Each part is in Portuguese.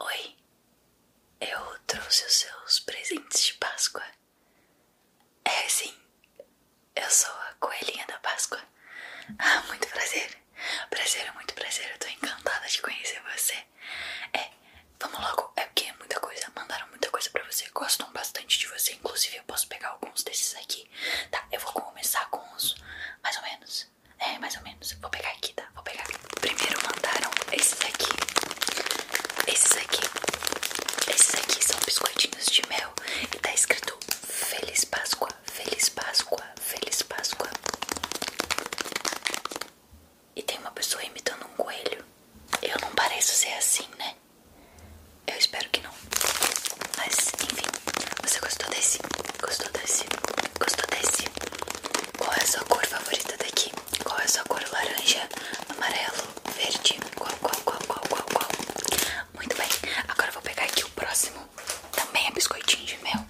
Oi, eu trouxe os seus presentes de Páscoa. É sim, eu sou a Coelhinha da Páscoa. Ah, muito prazer. Prazer, muito prazer. Eu tô encantada de conhecer você. É, vamos logo. É porque é muita coisa. Mandaram muita coisa pra você. Gostam bastante de você. Inclusive, eu posso pegar alguns desses aqui. Tá, eu vou começar com os mais ou menos é, mais ou menos. Vou pegar aqui, tá? Vou pegar Primeiro mandaram esses aqui. Esses aqui. Esses aqui são biscoitinhos de mel. E tá escrito Feliz Páscoa, Feliz Páscoa, Feliz Páscoa. E tem uma pessoa imitando um coelho. Eu não pareço ser assim, né? Eu espero que não. Mas, enfim. Você gostou desse? Gostou desse? Gostou desse? Qual é a sua cor favorita daqui? Qual é a sua cor? Laranja, amarelo, verde? Qual, qual, qual, qual, qual, qual? Muito bem, agora eu vou pegar aqui o próximo. Também é biscoitinho de mel.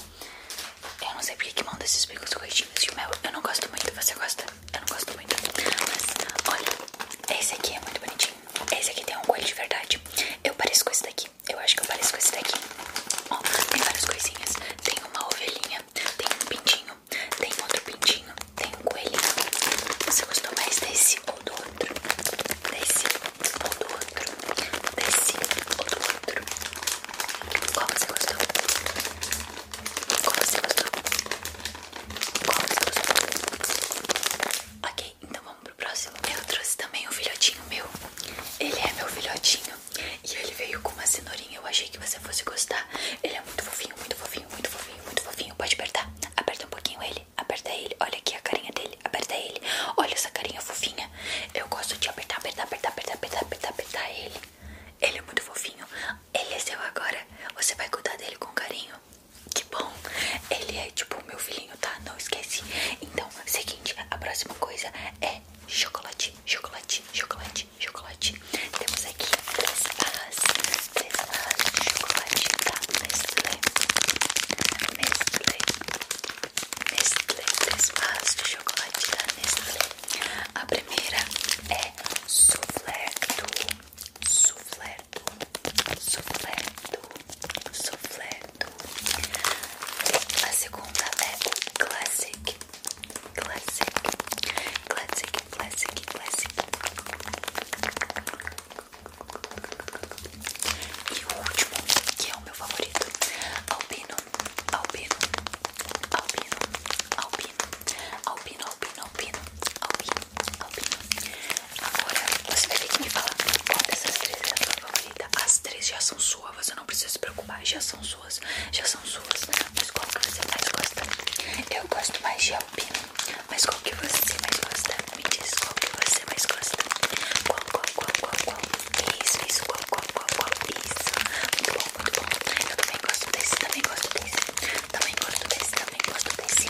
Eu não sei porque que manda esses biscoitinhos de mel. Eu não gosto muito. Você gosta? Eu não gosto muito. Mas olha, esse aqui é muito bonitinho. Esse aqui tem um cor de verdade. Eu pareço com esse daqui. Eu acho que eu pareço com esse daqui. Ó, tem várias coisinhas. Tem uma ovelhinha, tem um pintinho, tem outro pintinho, tem um coelhinho. Você gostou mais desse ou do outro? Desse ou do outro? Desse ou do outro? Qual você gostou? Qual você gostou? Qual você gostou? Ok, então vamos pro próximo. Eu trouxe também um filhotinho meu. Ele é meu filhotinho. E ele veio com uma cenourinha. Eu achei que você fosse gostar. Ele é muito fofinho, muito fofinho, muito fofinho, muito fofinho. Pode apertar. Aperta um pouquinho ele. Aperta ele. Olha aqui a carinha dele. Aperta ele. Olha essa carinha fofinha. Eu gosto de apertar, apertar, apertar, apertar, apertar, apertar, apertar ele. Ele é muito fofinho. Ele é seu agora. Você vai cuidar dele com carinho. Que bom. Ele é tipo o meu filhinho, tá? Não esquece. Então, segui a próxima coisa é chocolate, chocolate, chocolate, chocolate. Temos aqui três barras, três de chocolate da tá? Nestlé. Nestlé, Nestlé, três barras de chocolate da tá? Nestlé. A primeira é soufflé do, soufflé Souffleto. A segunda é o Classic. Classic. Classic, Classic, Classic. E o último, que é o meu favorito. Alpino. Alpino. Alpino. Alpino. Alpino, alpino, alpino. Alpino, alpino. Agora você vai ter que me falar qual dessas três é a sua favorita. As três já são suas, você não precisa se preocupar. Já são suas, já são suas. Mas qual que você mais gosta? Eu gosto mais de alpino. Mas qual que você mais gosta? Me diz qual que você mais gosta. Qual, qual, qual, qual, qual? Isso, isso, qual, qual, qual, qual? Isso. Muito bom, muito bom. Eu também gosto desse, também gosto desse. Também gosto desse, também gosto desse.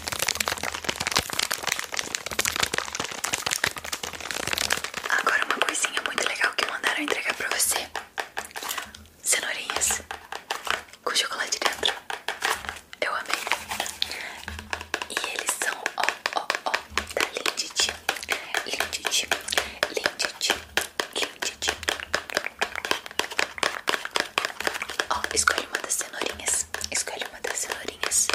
Agora uma coisinha muito legal que mandaram entregar pra você: cenourinhas com chocolate dentro. Eu amei. E eles são ó, ó, ó, da Lindt. Lindt, Lindt, Lindt. Ó, escolhe uma das cenourinhas cenourinhas. Escolha uma das cenourinhas.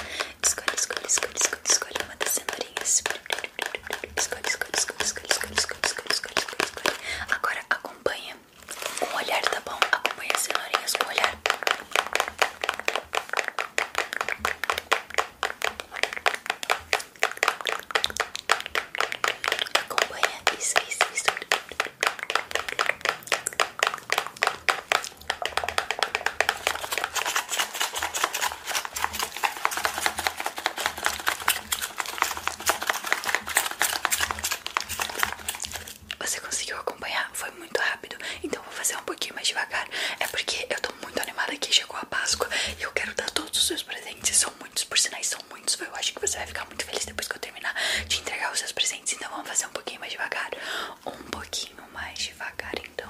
Escolha, escolha, escolha, escolha, escolha uma das cenourinhas. Escolha, escolha, escolha, escolha, escolha, escolha, escolha, escolha, Agora acompanha com olhar, tá bom? Acompanha as cenourinhas com olhar. Acompanha isso, isso, isso. Você conseguiu acompanhar? Foi muito rápido. Então vou fazer um pouquinho mais devagar. É porque eu tô muito animada que chegou a Páscoa e eu quero dar todos os seus presentes. São muitos, por sinais são muitos. Eu acho que você vai ficar muito feliz depois que eu terminar de entregar os seus presentes. Então vamos fazer um pouquinho mais devagar. Um pouquinho mais devagar então,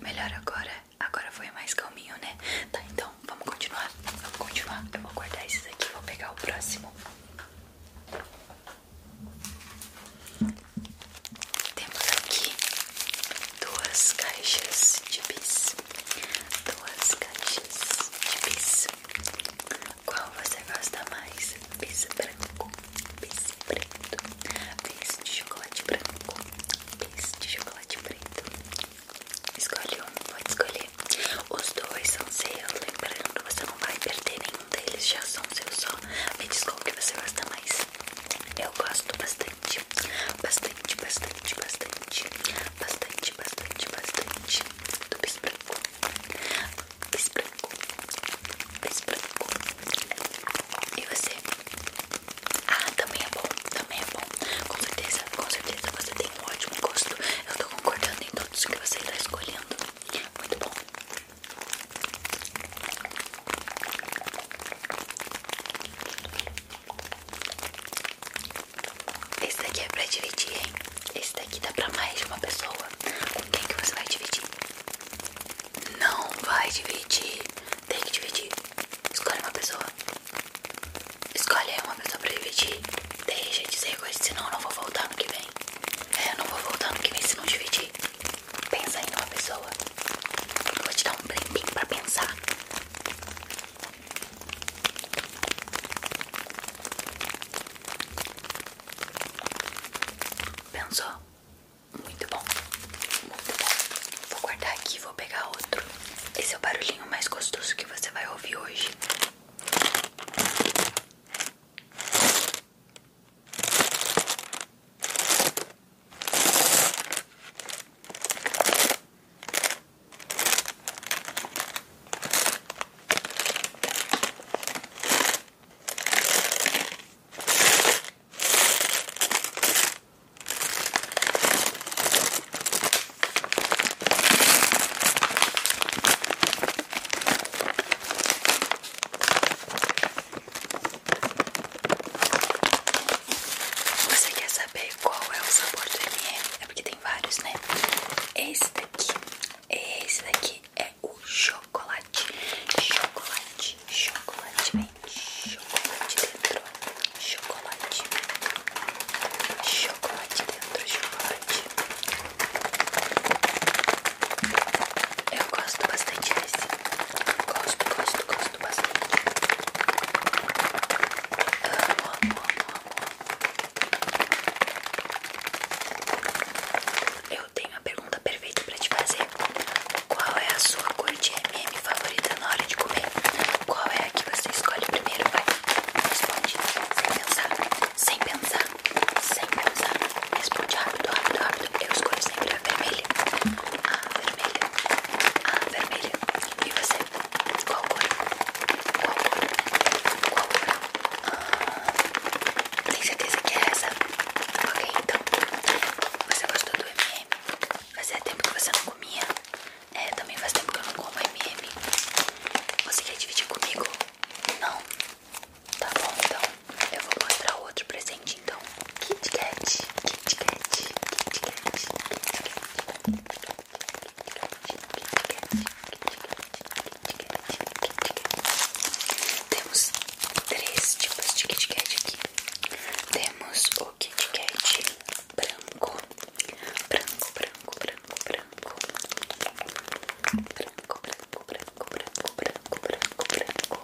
Melhor agora? Agora foi mais calminho, né? Tá, então vamos continuar. Vamos continuar. Eu vou guardar esses aqui. Vou pegar o próximo. Temos aqui duas caixas de bis duas caixas de pizza Qual você gosta mais? pizza branco, pizza preto, pizza de chocolate branco, pizza de chocolate preto. Escolhe um, pode escolher. Os dois são seus, lembrando, você não vai perder nenhum deles, já são seus só. Me diz qual que você gosta mais. Eu gosto bastante, bastante, bastante bastante, bastante, bastante, bastante, bastante do bis branco, bis branco, bis branco. E você? Ah, também é bom, também é bom. Com certeza, com certeza você tem um ótimo gosto. Eu tô concordando em todos que você está escolhendo. Muito bom. Esse daqui é pra dividir, hein? Esse daqui dá pra mais de uma pessoa. Com quem que você vai dividir? Não vai dividir. Tem que dividir. Escolhe uma pessoa. Escolhe uma pessoa pra dividir. Deixa de ser coisa, senão eu não vou voltar no que vem. É, eu não vou voltar no que vem se não dividir. Pensa em uma pessoa. Eu vou te dar um tempinho pra pensar. Pensou? Muito bom, muito bom. Vou guardar aqui e vou pegar outro. Esse é o barulhinho mais gostoso que você vai ouvir hoje. Você quer saber qual é o sabor do MM. É porque tem vários, né? Esse daqui, esse daqui é o chocolate. Chocolate, chocolate, vem. Chocolate dentro. Chocolate. Chocolate dentro, chocolate. Eu gosto bastante desse. Gosto, gosto, gosto gosto bastante. Amo, amo, amo, amo. Eu tenho a pergunta perfeita pra te fazer. Qual é a sua cor de MM favorita na hora de comer? Qual é a que você escolhe primeiro? responde sem pensar, sem pensar, sem pensar. Responde rápido, rápido, rápido. Eu escolho sempre a vermelha. A vermelha, a vermelha. E você? Qual cor? Qual cor? Qual cor? Ah, tem certeza que é essa? Ok, então. Você gostou do MM? Fazia tempo que você não comia? É, também faz tempo que eu não como MM. Você quer dividir comigo? Não? Tá bom, então. Eu vou mostrar outro presente, então não. Kit Kat, Kit Kat, Kit Kat, Kit Kat, Kit Kat, Kit Kat. Temos três tipos de Kit Kat aqui. Temos o Kit Kat branco, branco, branco, branco, branco, branco, branco, branco, branco, branco, branco, branco.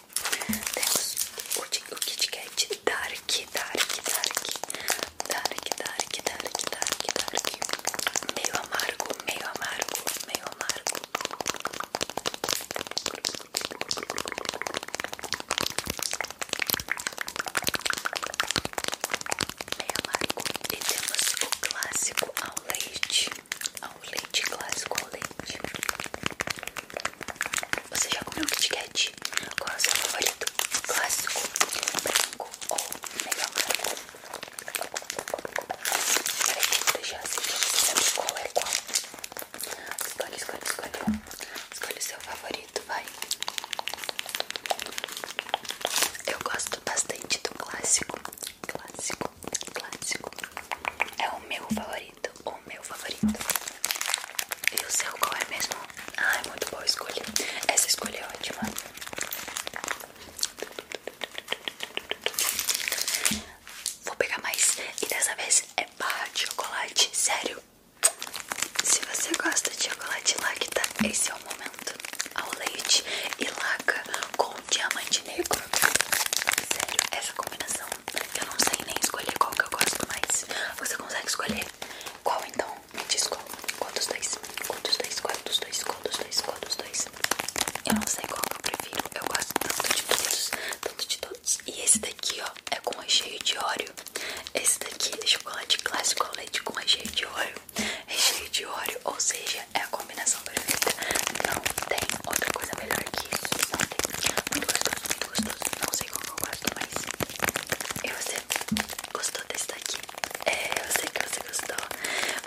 Temos o, o Kit Kat Dark, Dark, Dark, Dark, Dark, Dark, Dark, Dark, meio amargo, meio amargo, meio amargo. Meio amargo. E temos o clássico ao leite ao leite clássico ao leite. Você já comeu Kit Kat? Qual é o seu favorito? Clássico, branco ou melhor branco? Peraí, vou deixar assim pra você saber qual é qual. Escolhe, escolhe, escolhe Escolhe o seu favorito, vai. Eu gosto bastante do clássico clássico, clássico. É o meu favorito, o meu favorito. E o seu qual é mesmo? Ah, é muito boa escolha. Essa escolha é ótima. Vou pegar mais. E dessa vez é barra de chocolate, sério. Se você gosta de chocolate lacta, esse é o momento. Ao leite e laca com diamante negro. Sério, essa combinação eu não sei nem escolher qual que eu gosto mais. Você consegue escolher qual então? Me diz qual. dos dois? Qual dos dois? Qual dos dois? Qual dos dois? Qual dois? Eu não sei qual que eu prefiro. Eu gosto tanto de todos, tanto de todos. E esse daqui, ó, é com recheio de óleo. Esse daqui é chocolate clássico ao leite com recheio de óleo. Recheio de óleo, ou seja, é a combinação perfeita. Não tem outra coisa melhor que isso. Muito gostoso, muito gostoso. Não sei como eu gosto, mas. E você gostou desse daqui? É, eu sei que você gostou.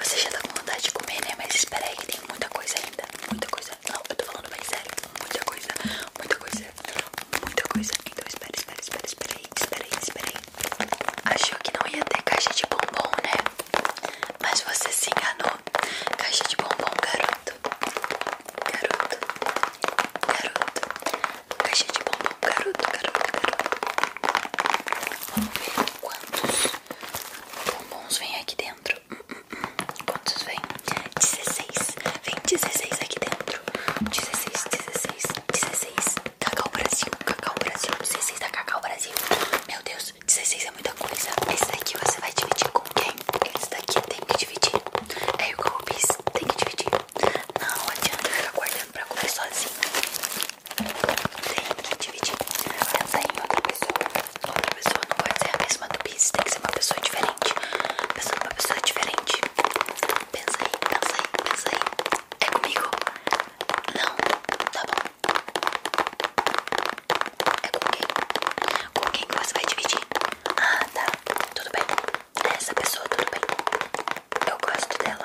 Você já tá com vontade de comer, né? Mas espera aí que tem muita coisa ainda. Muita coisa. Não, eu tô falando bem sério. Muita coisa, muita coisa, muita coisa. Então espera, espera, espera, espera aí, espera aí, espera aí. Achou que não ia ter caixa de bombom, né? Mas você se enganou. Caixa de bombom, garoto. Garoto. Garoto. Caixa de bombom, garoto, garoto, garoto. Vamos ver quantos bombons vem aqui dentro. Hum, hum, hum. Quantos vem? dezesseis Vem dezesseis aqui dentro. dezesseis dezesseis dezesseis Cacau Brasil, Cacau Brasil. dezesseis da Cacau Brasil. Meu Deus, anos. 16 é muita coisa. Esse daqui você vai dividir com quem? Esse daqui tem que dividir. É igual o bis, tem que dividir. Não adianta ficar guardando pra comer sozinho. Tem que dividir. Pensa em outra pessoa. Outra pessoa não pode ser a mesma do bis, tem que ser uma pessoa diferente. Pensa em uma pessoa diferente. Pensa aí, pensa aí, pensa aí. É comigo? Não, tá bom. É com quem? Com quem você vai dividir? Ah, tá. Tudo bem. Essa pessoa, tudo bem. Eu gosto dela.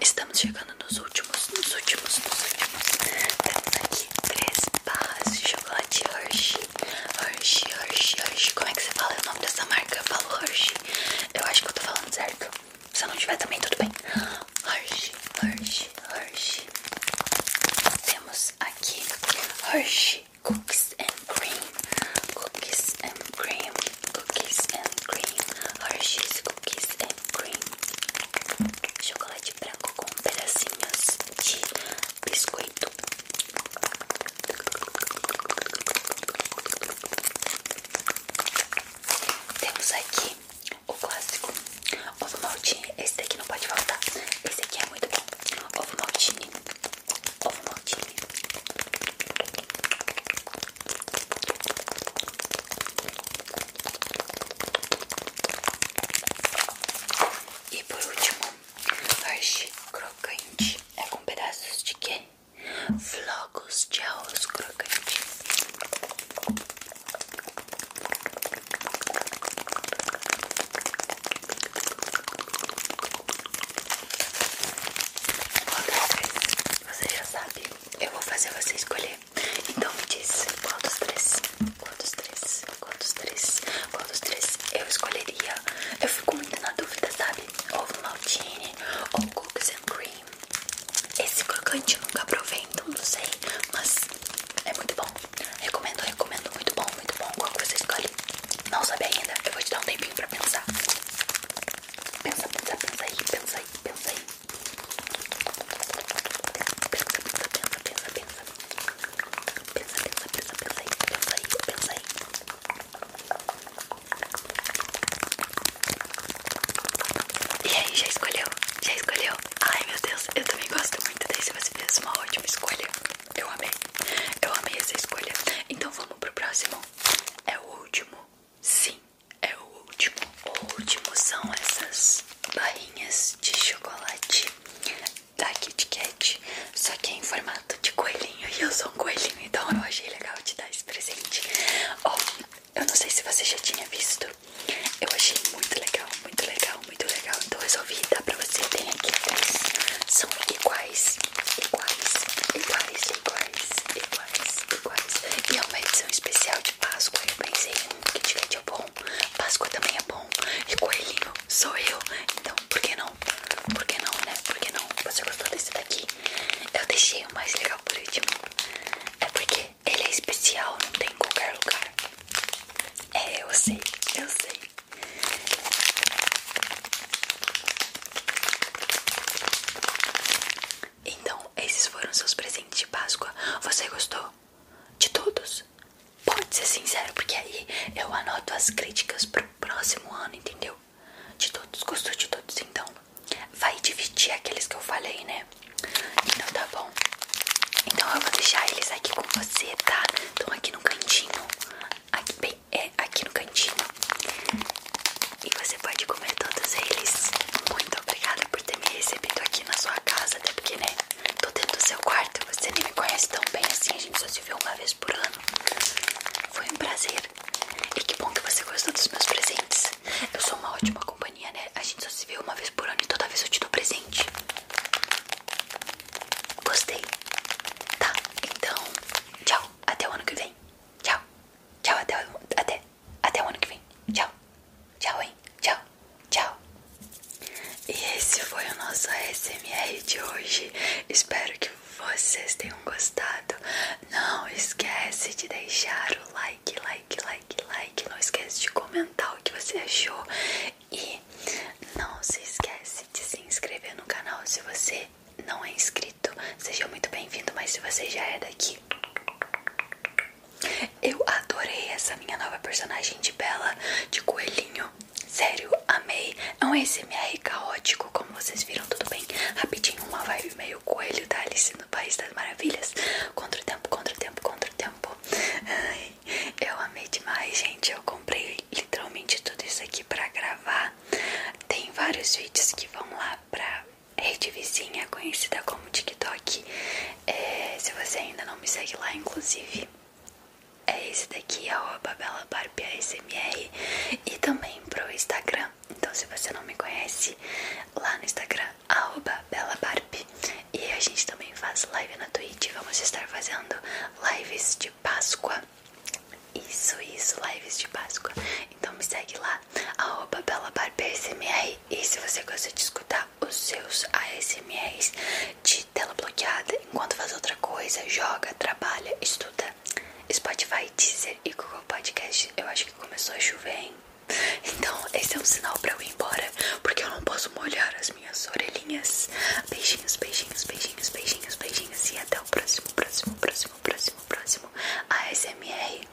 Estamos chegando nos últimos, nos últimos, nos últimos. Temos aqui três barras de chocolate Hershey. Hershey, Hershey, Hershey. Como é que você fala o nome dessa marca? Eu falo Hershey. Eu acho que eu tô falando certo. Se eu não tiver também, tudo bem. Hershey, Hershey, Hershey. Temos aqui Hershey Cookies and Cream. Cookies and Cream. Cookies and Cream. Hershey's Cookies and Cream. Chocolate branco com pedacinhos de biscoito. Temos aqui o clássico ovo maltine. Esse daqui não pode faltar. Esse aqui é muito bom. Ovo maltine. Ovo maltine. E por último, Hershey crocante. É com pedaços de quê? Flocos de arroz crocante. Qual três? Você já sabe. Eu vou fazer você escolher. Então me diz quantos três? Qual três? Quantos três? Qual três eu escolheria? Eu fico muito na dúvida, sabe? Ovo maltine ou cookies and cream. Esse crocante nunca provei, então não sei, mas é muito bom. Recomendo, recomendo, muito bom, muito bom. Qual que você escolhe? Não sabe ainda? Eu vou te dar um tempinho pra pensar. Pensa, pensa, pensa aí, pensa aí, pensa aí. Pensa, pensa, pensa, pensa, pensa. Pensa, pensa, pensa, pensa aí, pensa aí, pensa aí. E aí, já escolheu? Já escolheu? Ai meu Deus, eu também gosto muito desse. Você fez uma ótima escolha. Eu amei. Eu amei essa escolha. Então vamos pro próximo. É o último. Sim, é o último. O último são essas barrinhas de chocolate da Kit Kat, só que é em formato de coelhinho e eu sou um coelhinho, então eu achei legal te dar esse presente. Ó, eu não sei se você já tinha visto, eu achei muito legal, muito legal, muito legal, então resolvi dar pra você. Tem aqui atrás, são iguais, iguais, iguais, iguais, iguais, iguais. E é uma edição especial de Páscoa, eu pensei que Kit Kat é bom, Páscoa também é bom. E coelhinho sou eu, então por que não? Por que não, né? Por que não? Você gostou desse daqui? Eu deixei o mais legal por último. É porque ele é especial, não tem em qualquer lugar. É, eu sei, eu sei. Então, esses foram seus presentes de Páscoa. Você gostou? de todos. Pode ser sincero, porque aí eu anoto as críticas pro próximo ano, entendeu? De todos, gostou de todos, então vai dividir aqueles que eu falei, né? Então tá bom. Então eu vou deixar eles aqui com você, tá? Estão aqui no cantinho. Aqui, bem, é aqui no cantinho. E você pode comer todos eles. Muito obrigada por ter me recebido aqui na sua casa, até porque, né? Tô dentro do seu quarto. e Você nem me conhece tão bem assim. A gente só se viu uma vez por ano. Foi um prazer. E que bom que você gostou dos meus presentes. Eu sou uma ótima companhia, né? A gente só se vê uma vez por ano e toda vez eu te dou presente. Gostei. Tá, então. Tchau. Até o ano que vem. Tchau. Tchau, até, até, até o ano que vem. Tchau. Tchau, hein? Tchau. Tchau. E esse foi o nosso ASMR de hoje. Espero que vocês tenham gostado. Não esquece de deixar o like, like, like, like. Não esquece de comentar o que você achou. E não se esquece de se inscrever no canal se você não é inscrito. Seja muito bem-vindo, mas se você já é daqui, eu adorei essa minha nova personagem de Bela de coelhinho. Sério, amei. É um SMR caótico, como vocês viram, tudo bem. Rapidinho, uma vibe meio coelho da Alice no País das Maravilhas. Contra o tempo, contra o tempo, contra o tempo. eu amei demais, gente. Eu comprei literalmente tudo isso aqui pra gravar. Tem vários vídeos que vão lá pra rede vizinha, conhecida como TikTok. É, se você ainda não me segue lá, inclusive é esse daqui, arroba belabarbiasmr e também pro Instagram. Então se você não me conhece, lá no Instagram, arroba belabarb. E a gente também faz live na Twitch, vamos estar fazendo lives de Páscoa. Isso, isso, lives de Páscoa. Então me segue lá, arroba belabarbiasmr e se você gosta de escutar os seus ASMRs de tela bloqueada enquanto faz outra coisa, joga, trabalha, estuda. Spotify, Deezer e Google Podcast. Eu acho que começou a chover, hein? Então, esse é um sinal pra eu ir embora, porque eu não posso molhar as minhas orelhinhas. Beijinhos, beijinhos, beijinhos, beijinhos, beijinhos. E até o próximo, próximo, próximo, próximo, próximo ASMR.